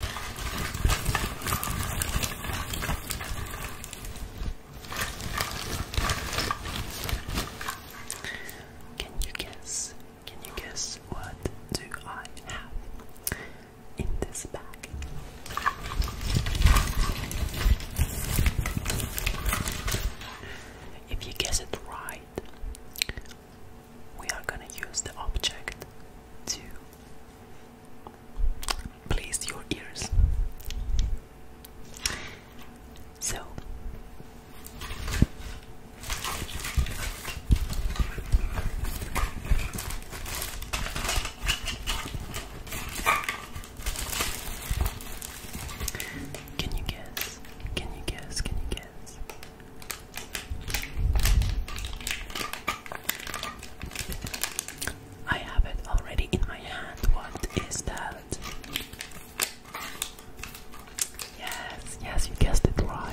Can you guess? Can you guess what do I have in this bag? If you guess it right, we are gonna use the object to place your ears. So can you guess? Can you guess? Can you guess? I have it already in my hand. What is that? Yes, yes, you guessed it right.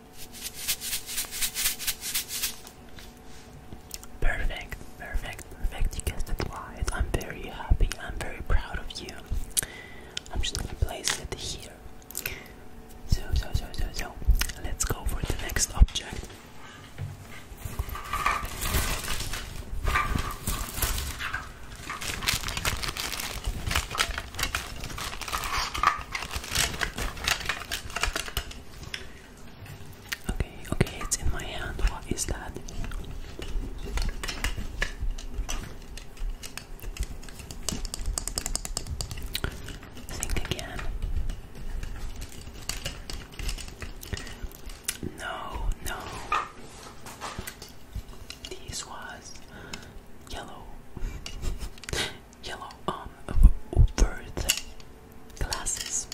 Perfect, perfect, perfect. You guessed it right. I'm very happy. I'm very proud of you. I'm just gonna place it here. So, so, so, so, so. Let's go for the next object. Okay, okay, it's in my hand. What is that? Think again. No, no. This was yellow. yellow um worth glasses.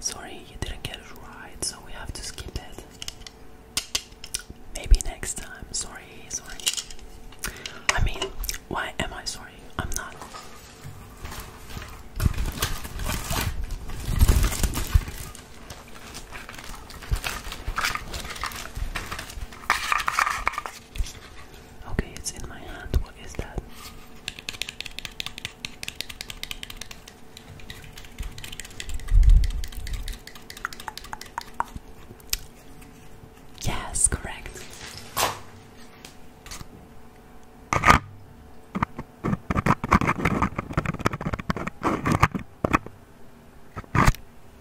Sorry, you didn't get it right, so we have to skip it. Maybe next time. Sorry, sorry. I mean, why am I sorry? I'm not. Okay, it's in my hand. What is that? Yes, correct.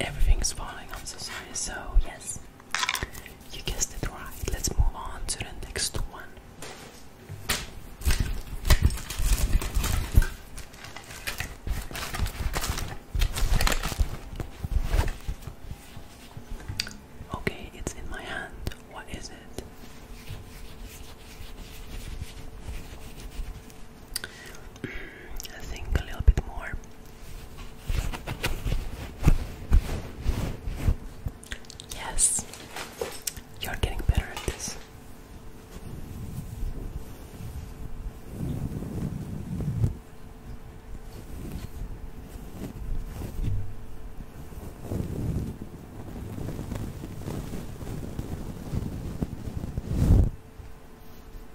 everything's falling on society. So yes, you guessed it right. Let's move on to the next one. Okay, it's in my hand. What is it? I think a little bit more. Yes, you're getting better at this.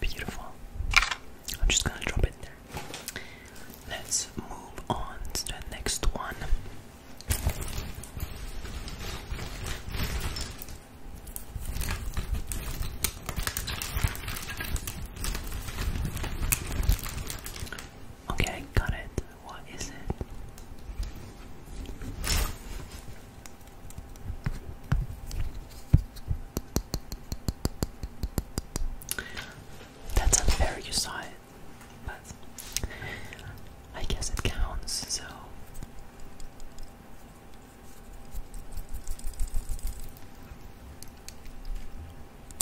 Beautiful. I'm just gonna drop it there. Let's move on to the next one. Okay, got it. What is it? That's unfair, you saw it, but I guess it counts, so.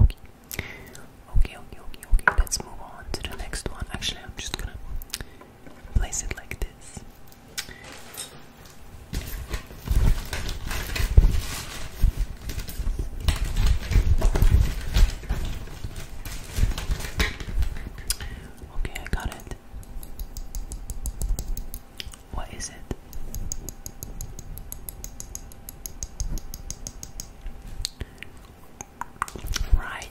Okay. Okay, okay, okay, okay. Let's move on to the next one. Actually, I'm just gonna place it like this. Okay, I got it. What is it? Right.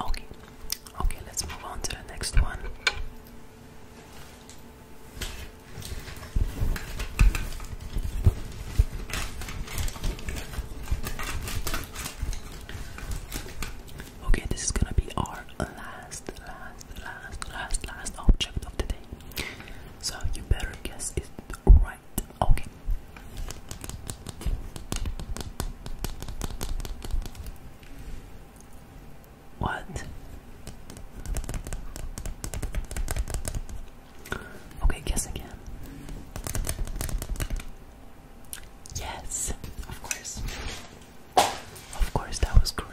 Okay, okay, let's move on to the next one. Okay, this is gonna be our last, last, last, last, last object of the day. So you better guess it right. Okay, what? Okay, guess again. Yes, of course. Of course, that was correct.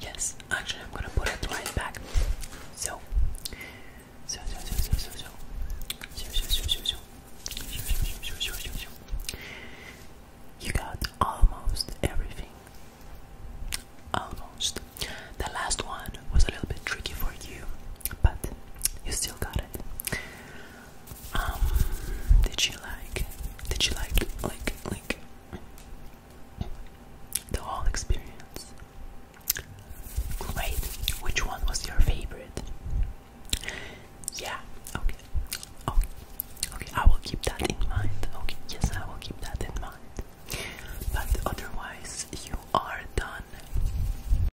Yes, actually, I'm gonna put it right back. So, you got almost everything. Almost. The last one was a little bit tricky for you, but you still got it. Um, did you like? Did you like like like the whole experience? Great. Which one was your favorite? Yeah. Okay. Okay. Okay. I will keep that in mind. Okay. Yes, I will keep that in mind. But otherwise, you are done.